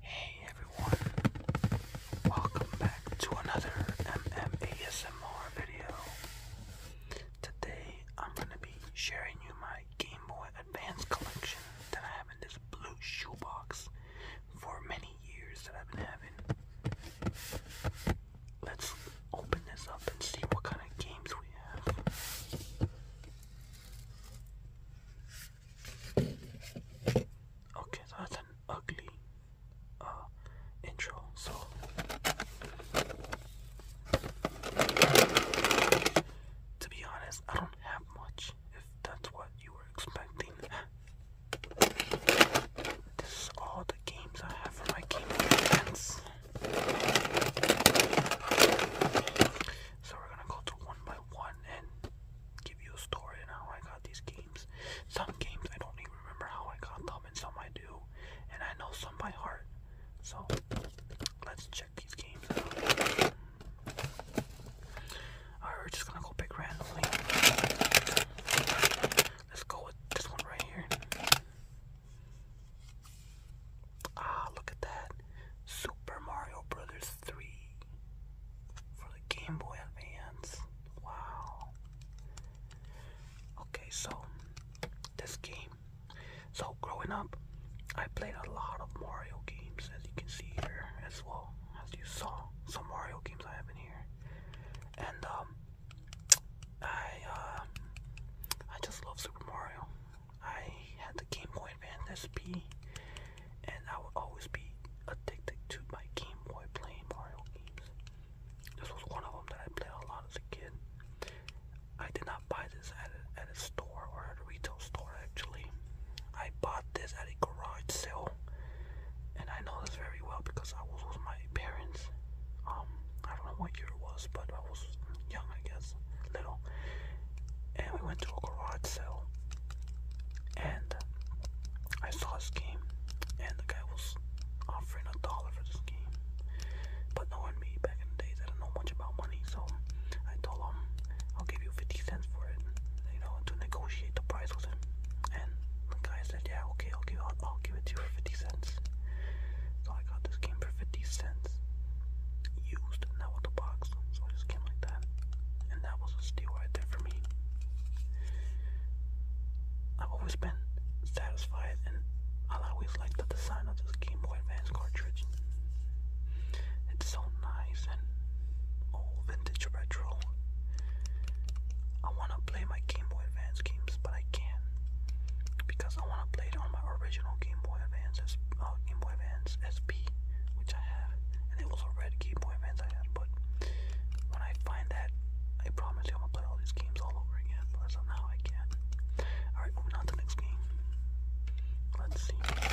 Hey everyone, welcome back to another MMASMR video. Today I'm going to be sharing you my Game Boy Advance collection that I have in this blue shoebox for many years that I've been having. Let's open this up and see what kind of games we have. Okay, that's an ugly uh, intro. So. To be honest, I don't have much if that's what you were expecting. This is all the games I have for my Game Boy So we're gonna go through one by one and give you a story on how I got these games. Some games I don't even remember how I got them, and some I do, and I know some by heart. So let's check these games out. Alright, we're just gonna go pick randomly. Let's go with this one right here. Ah, look at that. Super Mario Brothers 3 for the Game Boy Advance. Wow. Okay, so this game. So growing up, I played a lot of Mario games as you can see here as well. As you saw, some Mario games I have in here. And um I um, I just love Super Mario. I had the Game Boy Advance SP, and I would always be addicted to my Game Boy playing Mario games. This was one of them that I played a lot as a kid. I did not buy this at at a store or at a retail store actually. I bought this at a garage sale and I know this very well because I was with my parents. Um, I don't know what year it was, but I was young, I guess, little. And we went to a garage sale, and I saw this game, and the guy was offering a dollar for this game. But knowing me back in the days, I don't know much about money, so I told him I'll give you 50 cents for it, you know, to negotiate the price with and the guy said, yeah, okay, i I'll, give it to you for 50 cents. So I got this game for 50 cents, used, not the box, so I just came like that. And that was a steal right there for me. I've always been satisfied and I always liked the design of this Game Boy Advance cartridge. It's so nice and old vintage retro. I want to play my Game Boy Advance games, but I can't because I want to play it on my original Game Boy Advance, uh, Game Boy Advance SP, which I have, and it was a red Game Boy Advance I had. But when I find that, I promise you I'm gonna play all these games all over again. But as I can't. All right, moving on to the next game. Let's see. Okay,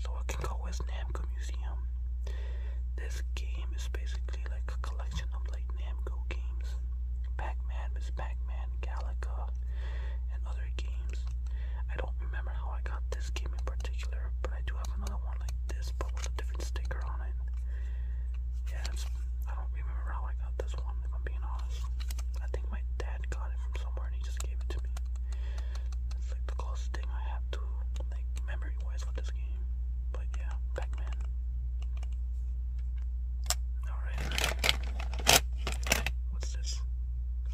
so I can go West Namco Museum. This game is basically like a collection of like Namco games. Pac-Man, Miss Pac-Man, Galaga, and other games. I don't remember how I got this game in particular, but I do have another one like this, but with a different sticker on it. Yeah, I don't remember how I got this one, if I'm being honest. I think my dad got it from somewhere and he just gave it to me. It's like the closest thing I have to do memory wise for this game. But yeah, Pac-Man. Alright. What's this?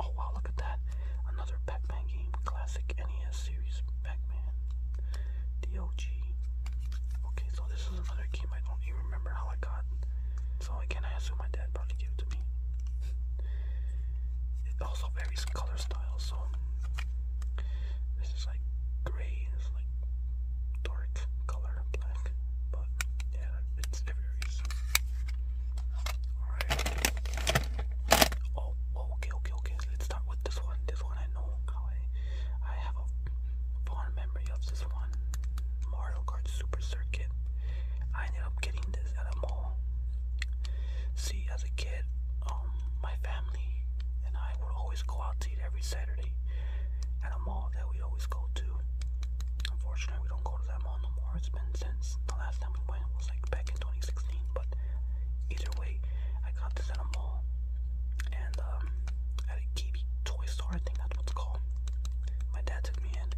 Oh wow, look at that. Another Pac-Man game. Classic NES series Pac-Man. DOG. Okay, so this is another game I don't even remember how I got. So again I assume my dad probably gave it to me. It also varies color styles, so this is like gray, it's like dark color, black, but yeah, it's, it varies. Alright. Oh, oh, okay, okay, okay. Let's start with this one. This one I know how I, I have a fond memory of this one. Mario Kart Super Circuit. I ended up getting this at a mall See, as a kid, um, my family and I would always go out to eat every Saturday at a mall that we always go to. Unfortunately, we don't go to that mall no more. It's been since the last time we went was like back in 2016. But either way, I got this at a mall and um, at a Kiwi toy store. I think that's what it's called. My dad took me in,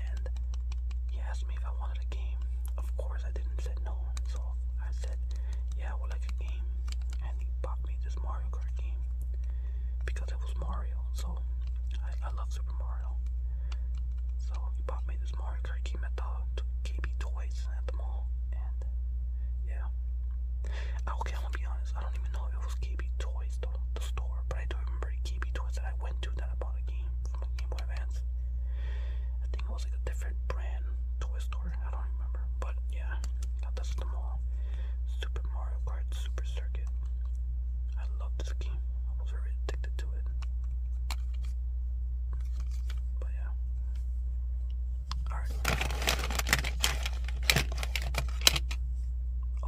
and he asked me if I wanted a game. Of course, I didn't say no, so I said, yeah, I like a game. And he bought me this Mario Kart game because it was Mario. So I, love Super Mario. So he bought me this Mario Kart game at the KB Toys at the mall. And yeah. Okay, I'm gonna be honest. I don't even know if it was KB Toys, the store, but I do remember KB Toys that I went to that I bought a game from a Game Boy I think it was like a different brand toy store. I don't remember. But yeah, got this at the mall. Super Mario Kart Super Circuit. I love this game. I was very addicted to it. But yeah. Alright.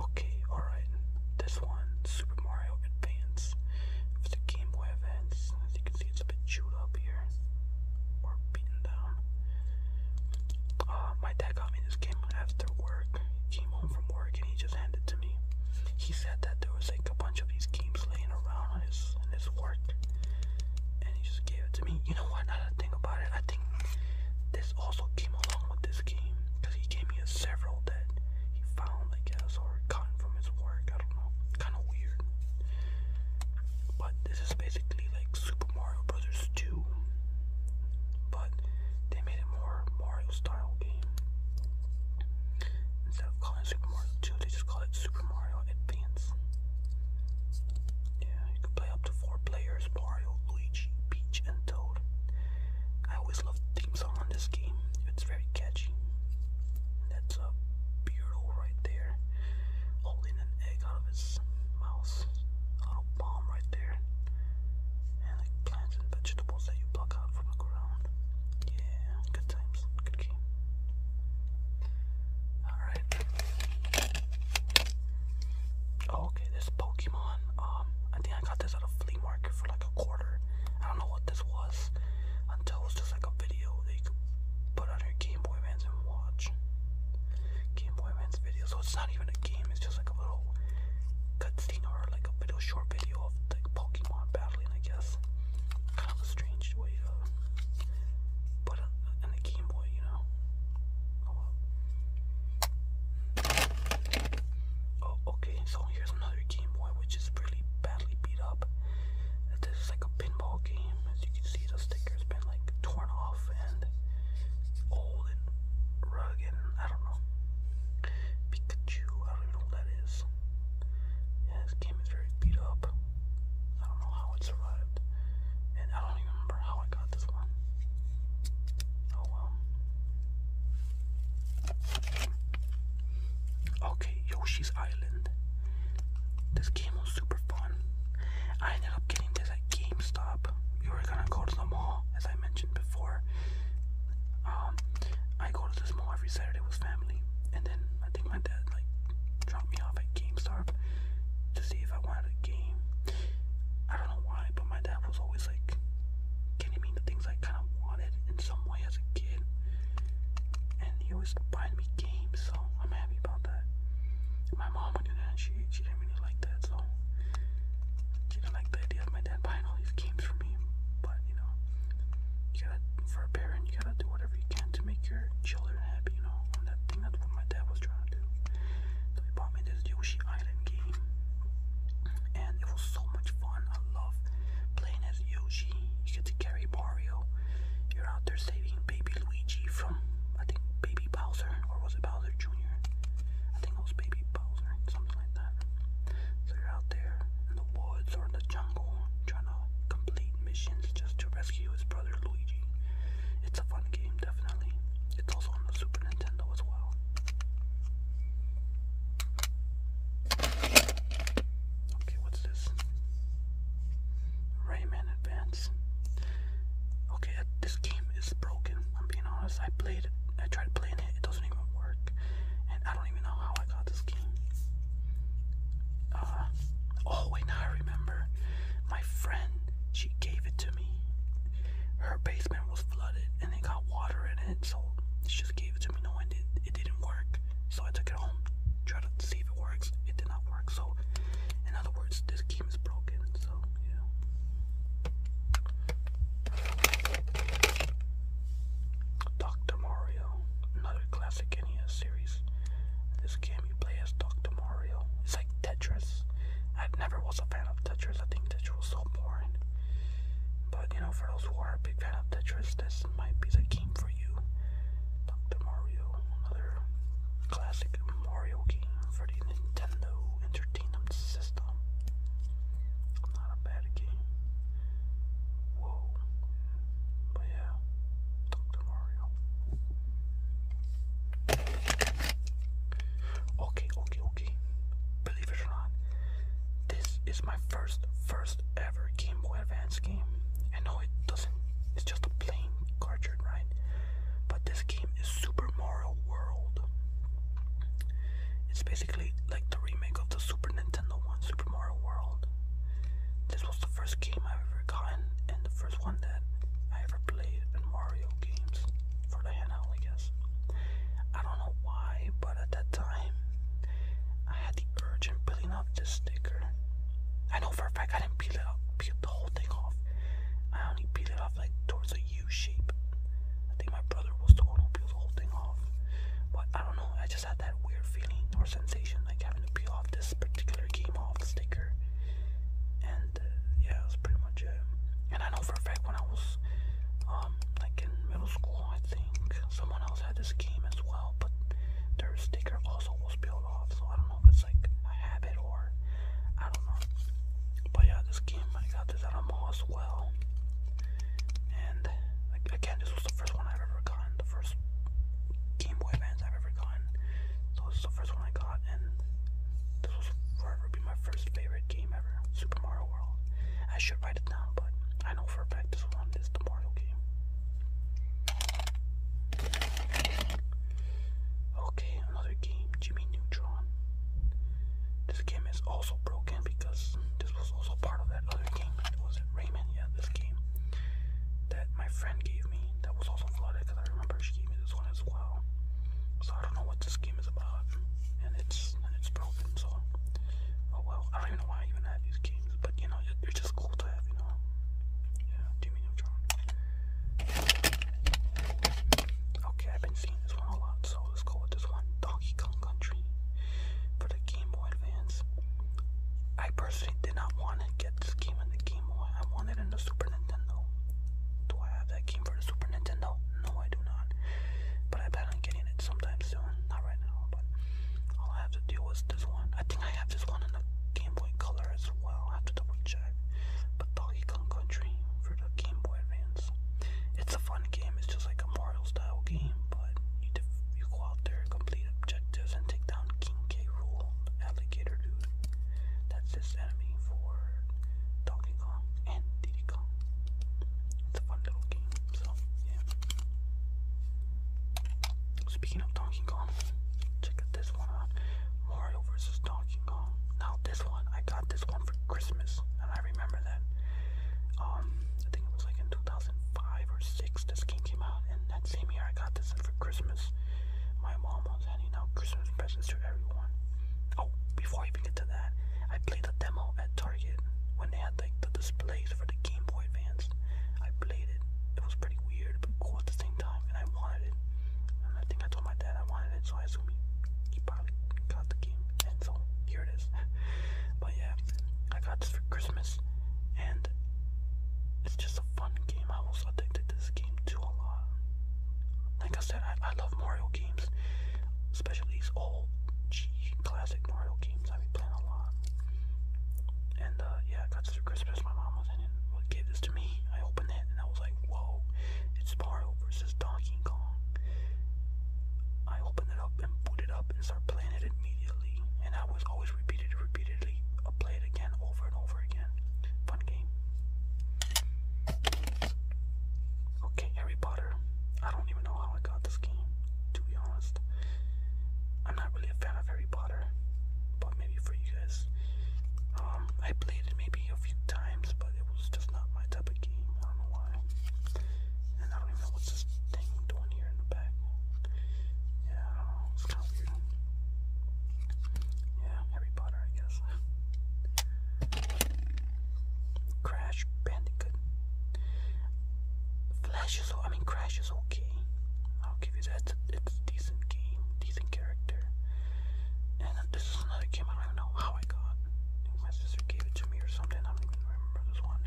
Okay, alright. This one, Super Mario Advance. For the Game Boy Advance you can see it's a bit chewed up here or beaten down. Uh, my dad got me this game after work. He came home from work and he just handed it to me. He said that there was like a bunch of these games laying around on his on his work, and he just gave it to me. You know what? Now that I think about it, I think this also came along with this game because he gave me a several that he found, I guess, or gotten from his work. I kind of weird. But this is basically like Super Mario Brothers 2, but they made it more Mario style game. Instead of calling Super Mario 2, they just call it Super Mario Advance. Yeah, you can play up to four players: Mario, Luigi, Peach, and Toad. I always love the theme song on this game. It's very catchy. That's a Beardo right there, holding an egg out of his mouth. little bomb right there. And like plants and vegetables that you pluck out from the ground. Yeah, good times, good game. Alright. okay, this Pokemon. Um, I think I got this at a flea market for like a quarter. I don't know what this was until it was just like a video that could put on your Game Boy Advance and watch. Game Boy Advance video. So it's not even a game, it's just like a little cutscene or like a video, short video of like Pokemon battling, I guess. Kind of a strange way to put it in a Game Boy, you know? Oh, oh okay, so here's another Game Boy which is really badly beat up. This is like a pinball game. As you can see, the sticker's been like torn off and old and rugged. I don't know. Pikachu, I don't know that is. Yeah, this game is very beat up. I don't know how it survived. And I don't even remember how I got this one. Oh well. Okay, Yoshi's Island. This game was super fun. I ended up getting this at GameStop. We were gonna go to the mall, as I mentioned before. Um, I go to this mall every Saturday with family, and then I think my dad like dropped me off at GameStop to see if I wanted a game. I don't know why, but my dad was always like getting me the things I kind of wanted in some way as a kid and he always buying me games, so I'm happy about that. My mom would do she, she didn't really like that, so she didn't like the idea of my dad buying all these games for me, but you know, you gotta, for a parent, you gotta do whatever you can to make your children happy, you know, that thing, that's what my dad was trying to do. So he bought me this Yoshi Island game, and it was so much fun, I love playing as Yoshi. You get to carry Mario. You're out there saving baby Luigi from, I think, baby Bowser, or was it Bowser Jr.? I think it was baby Bowser, something like that. So you're out there in the woods or in the jungle trying to complete missions just to rescue his brother Luigi. It's a fun game, definitely. It's also on the Super Nintendo as well. Okay, what's this? Rayman Advance. Okay, uh, this game is broken. I'm being honest. I played it. I tried playing it. It doesn't even work, and I don't even know how I got this game. Uh, oh wait, now I remember. My friend, she gave it to me. Her basement was flooded, and they got water in it, so she just gave it to me. No one did it didn't work. So I took it home, tried to see if it works. It did not work. So, in other words, this game is broken. So, yeah. Dr. Mario, another classic NES series. This game you play as Dr. Mario. It's like Tetris. I never was a fan of Tetris. I think Tetris was so boring. But you know, for those who are a big fan of Tetris, this this might be the game for you. Dr. Mario, another classic Mario game for the Nintendo Entertainment System. Not a bad game. Whoa. But yeah, Dr. Mario. Okay, okay, okay. Believe it or not, this is my first, first ever Game Boy Advance game. I know it doesn't, it's just a plain cartridge, right? But this game is Super Mario World. It's basically like the remake of the Super Nintendo one, Super Mario World. This was the first game i ever gotten, and the first one that I ever played in Mario games for the handheld, I guess. I don't know why, but at that time, I had the urgent peeling off this sticker. I know for a fact I didn't peel it up, peel the whole thing off. I only peeled it off like towards a U shape. I think my brother was the one who the whole thing off. But I don't know, I just had that weird feeling or sensation like having to peel off this particular game sticker. And uh, yeah, that pretty much it. And I know for a fact when I was um, like in middle school, I think, someone else had this game as well, but their sticker also was peeled off, so I don't know if it's like a habit or I don't know. But yeah, this game I got this at a mall as well, and again, this was the first one I've ever gotten, the first Game Boy Advance I've ever gotten. So this is the first one I got, and this will forever be my first favorite game ever, Super Mario World. I should write it down, but I know for a fact this one is the Mario game. Okay, another game, Jimmy Neutron. This game is also broken because this was also part of that other game. Was it Raymond? Yeah, this game that my friend gave me that was also flooded because I remember she gave me this one as well. So I don't know what this game is about, and it's and it's broken. So oh well, I don't even know why I even have these games but you know, they're just cool to have, you know. Yeah, Jimmy Neutron. Okay, I've been seeing this one a lot, so let's go with this one, Donkey Kong Country, for the Game Boy Advance. I personally did not want to get this game in the Game Boy. I wanted it in the Super Nintendo. Do I have that game for the Super Nintendo? No, I do not. But I plan on getting it sometime soon. Not right now, but all I have to do was this one. I think I have this one in the Game Boy Color as well. have to double check. But Donkey Kong Country for the Game Boy Advance. It's a fun game. It's just like a Mario style game, but you def you go out there, complete objectives, and take down King K. Rule, alligator dude. That's his enemy for Donkey Kong and Diddy Kong. It's a fun little game. So yeah. Speaking of Donkey Kong, check out this one Mario versus Donkey Kong. Now this one, I got this one for Christmas, and I remember that. Um, I think it was like in 2005 or 6 this game came out, and that same year I got this for Christmas. My mom was handing out Christmas presents to everyone. Oh, before I even get to that, I played the demo at Target when they had like the displays series for the Game Boy Advance. I played it. It was pretty weird, but cool at the same time, and I wanted it. And I think I told my dad I wanted it, so I assume he, he probably got the game, and so here it is. but yeah, I got this for Christmas, and it's just a fun game. I was addicted to this game too a lot. Like I said, I, I love Mario games, especially these old G classic Mario games. I've been playing a lot. And uh, yeah, I got through Christmas. My mom was in it and gave this to me. I opened it and I was like, whoa, it's Mario versus Donkey Kong. I opened it up and put it up and start playing it immediately. And I was always repeated, repeatedly uh, play it again over and over again. Fun game. Okay, Harry Potter. I don't even know how I got this game, to be honest. I'm not really a fan of Harry Potter but maybe for you guys. Um, I played it maybe a few times, but it was just not my type of game. I don't know why. And I don't even know what's this thing doing here in the back. Yeah, It's kind of weird. Yeah, Harry Potter, I guess. Crash Bandicoot. Flash is, I Crash which okay. I'll give you that. It's a decent game, decent character. And this is another game I don't know how I got. my sister gave it to me or something. I don't remember this one.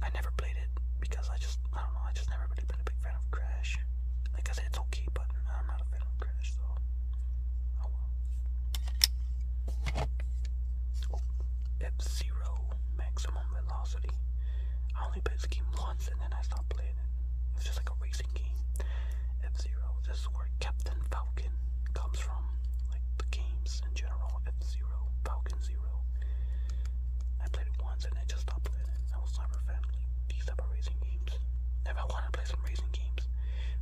I never played it because I just I don't know. I just never really been a big fan of Crash. Like I said, it's okay, but I'm not a fan of Crash, so oh well maximum velocity. I only played the game once and then I stopped playing it. It's just like a racing game. F Zero. This is where Captain Falcon comes from. Like the games in general. F Zero, Falcon Zero. I played it once and I just stopped playing it. I was Cyber Family. these type of racing games. If I want to play some racing games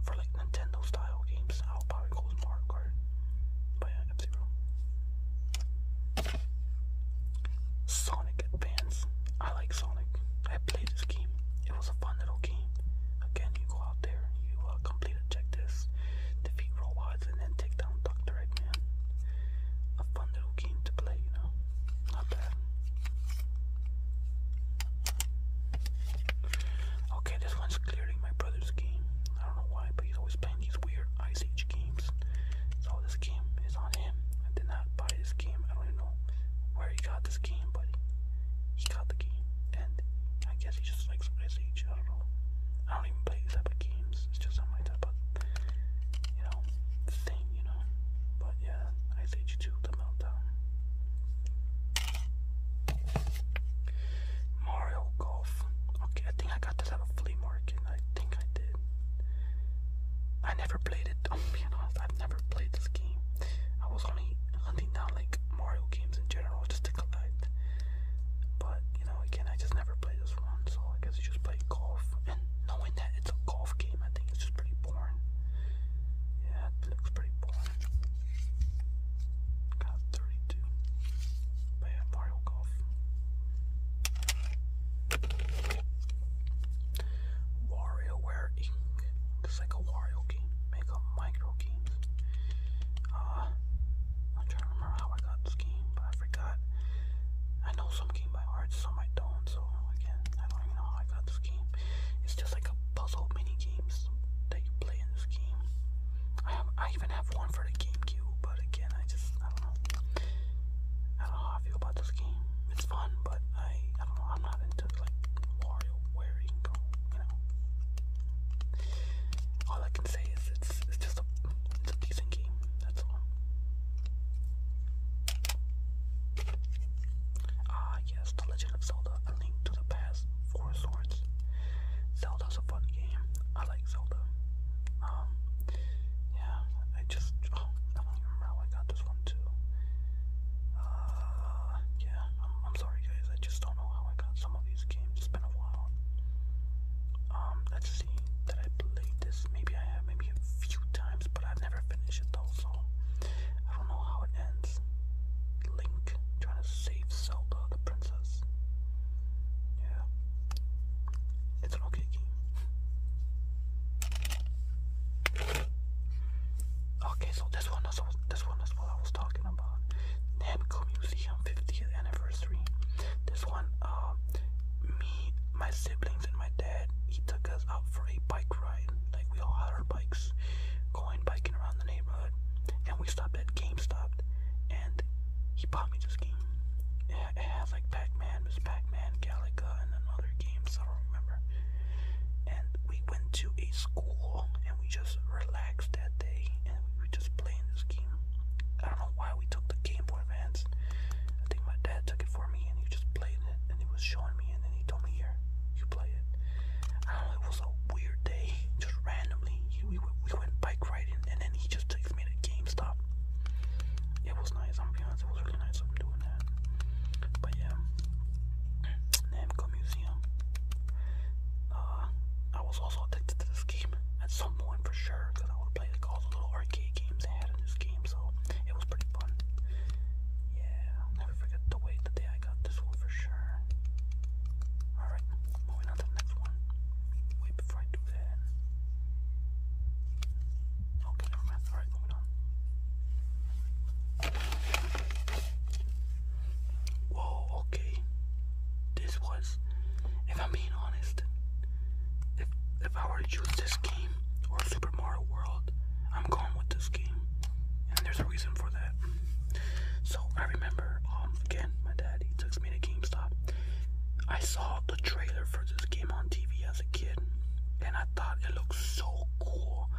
for like Nintendo style games, I'll probably go with Mario Kart. But F Zero. Sonic Advance. I like Sonic. I played this game. It was a fun little game. Again, you go out there, you uh, complete objectives, defeat robots, and then take down Dr. Eggman. A fun little game to play, you know? Not bad. Okay, this one's clearly my brother's game. I don't know why, but he's always playing these weird Ice Age games. So this game is on him. I did not buy this game. I don't even know where he got this game, but he got the game. And I guess he just likes his age. I don't even play these type of games. It's just not my type of, you know, thing, you know. But yeah, Ice Age 2, The Meltdown. Mario Golf. Okay, I think I got this at a flea market. I think I did. I never played it. I'm being honest, I've never played this game. I was only hunting down like Mario games in general just to collect. But you know, again, I just never played this one, so I guess you just play golf. And knowing that it's a golf game, I think it's just pretty boring. Yeah, looks pretty boring. Got 32. Mario Golf. WarioWare Inc. It's like a Wario game. Make a micro games. Uh, I'm trying to remember how I got this game, but I forgot. I know some game by heart, some I don't. So again, I don't know how I got this game. It's just like a puzzle mini games that you play in this game. I have, I even have one for the Game you, but again, I just I don't know. I don't know how I feel about this game. It's fun, but I I don't know. I'm not into like Wario where you can go. You know. All I can say is it's it's just a it's a decent game. That's all. Ah yes, The Legend of Zelda: A Link to the Past. Four Swords. Zelda's a fun game. I like Zelda. Um, yeah, I just, oh, I don't remember how I got this one too. Uh, yeah, I'm sorry guys, I just don't know how I got some of these games, it's been a while. Um, let's see, did I play this? Maybe I have, maybe a few times, but I've never finished it though, so I don't know how it ends. Link trying to save Zelda, the princess. Yeah, it's an okay game. Okay, so this one is this one is what I was talking about. Namco Museum 50th anniversary. This one, uh, me, my siblings, and my dad. He took us out for a bike ride. Like we all had our bikes, going biking around the neighborhood, and we stopped at GameStop, and he bought me this game it had like Pac-Man, it was Pac-Man, Galaga, and another games I don't remember. And we went to a school and we just relaxed that day and we were just playing this game. I don't know why we took the Game Boy Advance. I think my dad took it for me and he just played it and he was showing me and then he told me here, you play it. I don't know, it was a weird day, just randomly. He, we, we went bike riding and then he just took next minute GameStop. It was nice, I'm being honest, it was really nice of doing that. But yeah, Namco Museum. Uh, I was also addicted to this game at some point for sure, because I would play like all the little arcade games they had in this game, so it was pretty fun. Yeah, never forget the way the day I got this one for sure. Alright, moving on to the next one before I do that. Okay, Alright, moving on. Whoa, okay. This was, if I'm being honest, if, if I were to choose this game or Super Mario World, I'm going with this game. And there's a reason for that. So I remember, um, again, my dad, he took me to GameStop. I saw the trailer for this game on TV as a kid, and I thought it looked so cool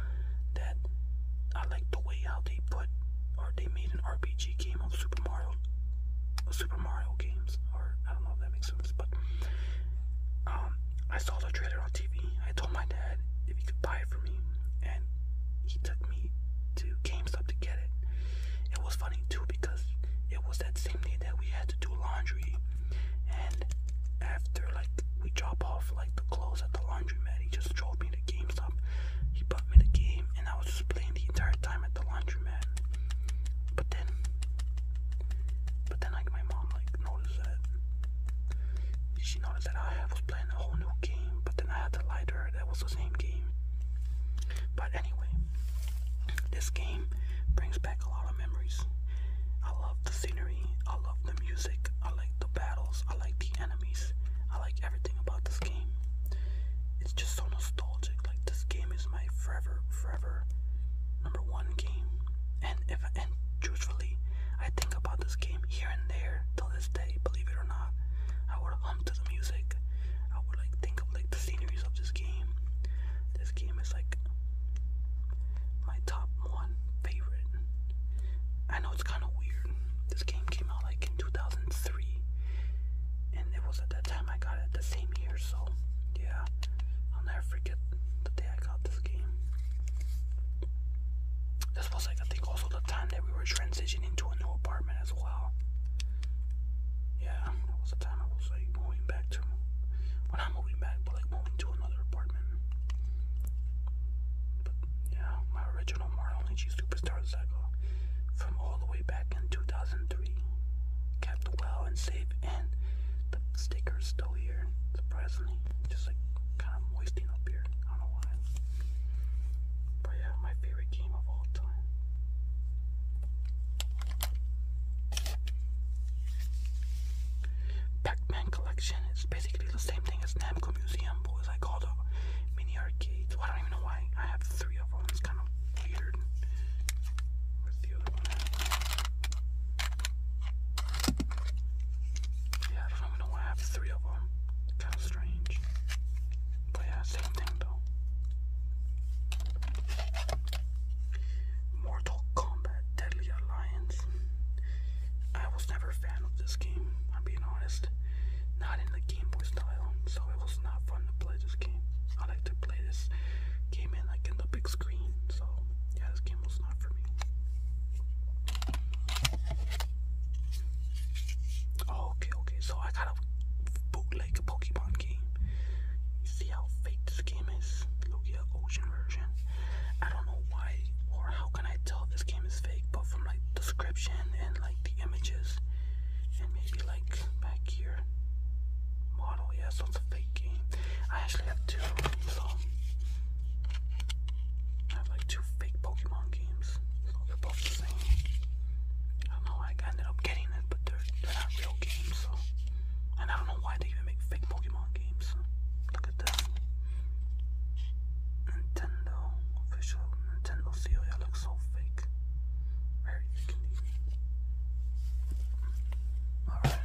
that I liked the way how they put or they made an RPG game of Super Mario, Super Mario games, or I don't know if that makes sense, but um, I saw the trailer on TV. I told my dad if he could buy it for me, and he took me to GameStop to get it. It was funny too because it was that same day that we had to do laundry and after like we drop off like the clothes at the laundromat, he just drove me to GameStop. He bought me the game, and I was playing the entire time at the laundromat. But then, but then like my mom like noticed that. She noticed that I was playing a whole new game, but then I had to lie to her that was the same game. But anyway, this game brings back a lot of memories. I love the scenery, I love the music, I like the battles, I like the enemies, I like everything about this game. It's just so nostalgic. Like this game is my forever, forever number one game. And if and truthfully, I think about this game here and there till this day, believe it or not. I would hum to the music. I would like think of like the sceneries of this game. This game is like my top one favorite. I know it's kind of weird. This game came out like in 2003, and it was at that time I got it the same year, so yeah, I'll never forget the day I got this game. This was like, I think, also the time that we were transitioning to a new apartment as well. Yeah, that was the time I was like going back back to. Well, moving back, but like moving to another apartment. But yeah, my original Mario Luigi Superstar Saga from all the way back in 2003 kept well and safe, and the sticker's still here, surprisingly. Just like kind of moisting up here. I don't know why. But yeah, my favorite game of all time. Pac-Man collection is basically the same thing as Namco Museum, boys. it's like the mini arcades. I don't even know why I have three of them. It's kind of weird. Where's the other one? Yeah, I don't know why I have three of them. Kind of strange. But yeah, same thing though. Mortal Kombat Deadly Alliance. I was never a fan of this game, I'm being honest. Not in the Game Boy style, so it was not fun to play this game. I like to play this game in like in the big screen, so yeah, this game was not for me. Oh, okay, okay, so I got a Pokemon game. You see how fake this game is? Look ocean version. I don't know why or how can I tell this game is fake, but from like description and like the images, and maybe like back here, model. Yeah, it's a fake game. I actually have two, so I have like two fake Pokemon games. So they're both the same. I don't know. I ended up getting it, but they're they're not real games, and I don't know why they even make fake Pokemon games. Look at this. Nintendo official Nintendo seal. It looks so fake. Very fake Alright.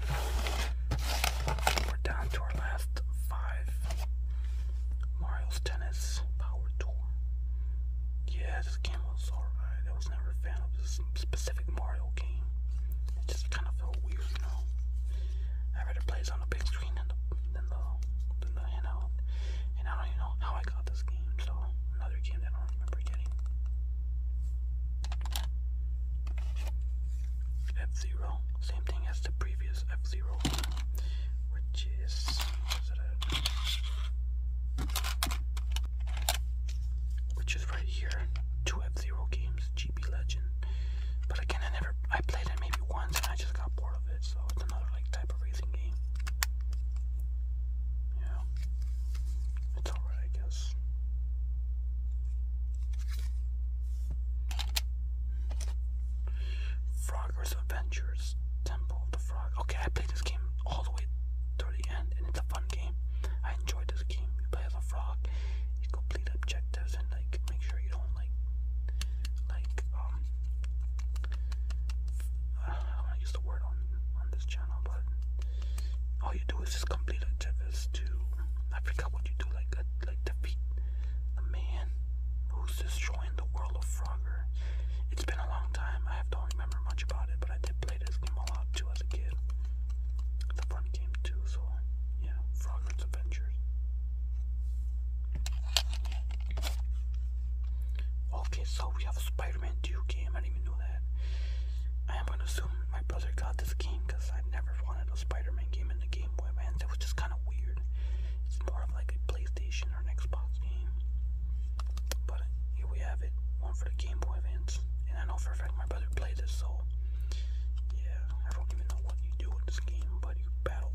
We're down to our last five. Mario's Tennis Power Tour. Yeah, this game was alright. I was never a fan of this specific Mario game. It just kind of felt weird, you know. I rather play on the big screen than the than the handheld. And I don't even know how I got this game. So another game that I don't remember getting. F Zero, same thing as the previous F Zero, which is which is right here. Two F Zero games, GB Legend. But again, I never I played it maybe once and I just got bored of it. So it's another like type of racing game. Yeah, it's alright, I guess. Frogger's Adventures, Temple of the Frog. Okay, I played this game all the way through the end, and it's a fun game. I enjoyed this game. You play as a frog, you complete objectives, and like make sure you don't like, like um, I don't want to use the word on on this channel, but all you do is just complete objectives to. I forgot what you do, like a, uh, like defeat the man who's destroying the world of Frogger. It's been a long time. I don't remember much about it, but I did play this game a lot too as a kid. The fun game too, so yeah, Frogger's Adventures. Okay, so we have a Spider-Man 2 game. I didn't even know that. I am gonna assume my brother got this game because I never wanted a Spider-Man game in the Game Boy Advance. It was just kind of weird. It's more of like a PlayStation or an Xbox game. But here we have it, one for the Game Boy Advance. And I know for a fact my brother played this, so yeah, I don't even know what you do in this game, but you battle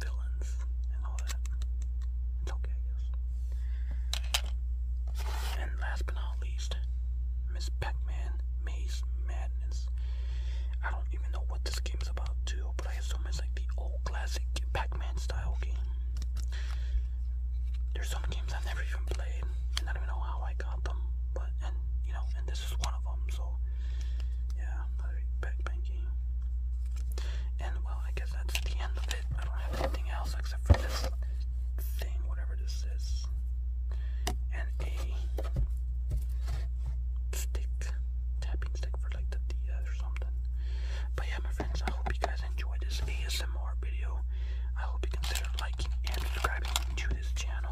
villains and all that. It's okay, I And last but not least, Miss Pac-Man Maze Madness. I don't even know what this game is about too, but I assume it's like the old classic Pac-Man style game. There's some games I've never even played, and I don't know how I like Gotham, but and you know, and this is one of them. So yeah, another backpack game. And well, I guess that's the end of it. I don't have anything else except for this thing, whatever this is, and a stick, tapping stick for like the DS or something. But yeah, my friends, I hope you guys enjoyed this ASMR video. I hope you consider and subscribing to this channel.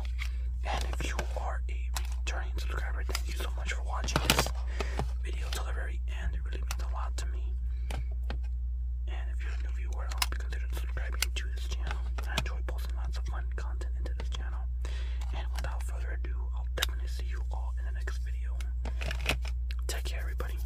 And if you are a returning subscriber, thank you so much for watching this video till the very end. It really means a lot to me. And if you're a new viewer, I hope you consider subscribing to this channel. I enjoy posting lots of fun content into this channel. And without further ado, I'll definitely see you all in the next video. Take care, everybody.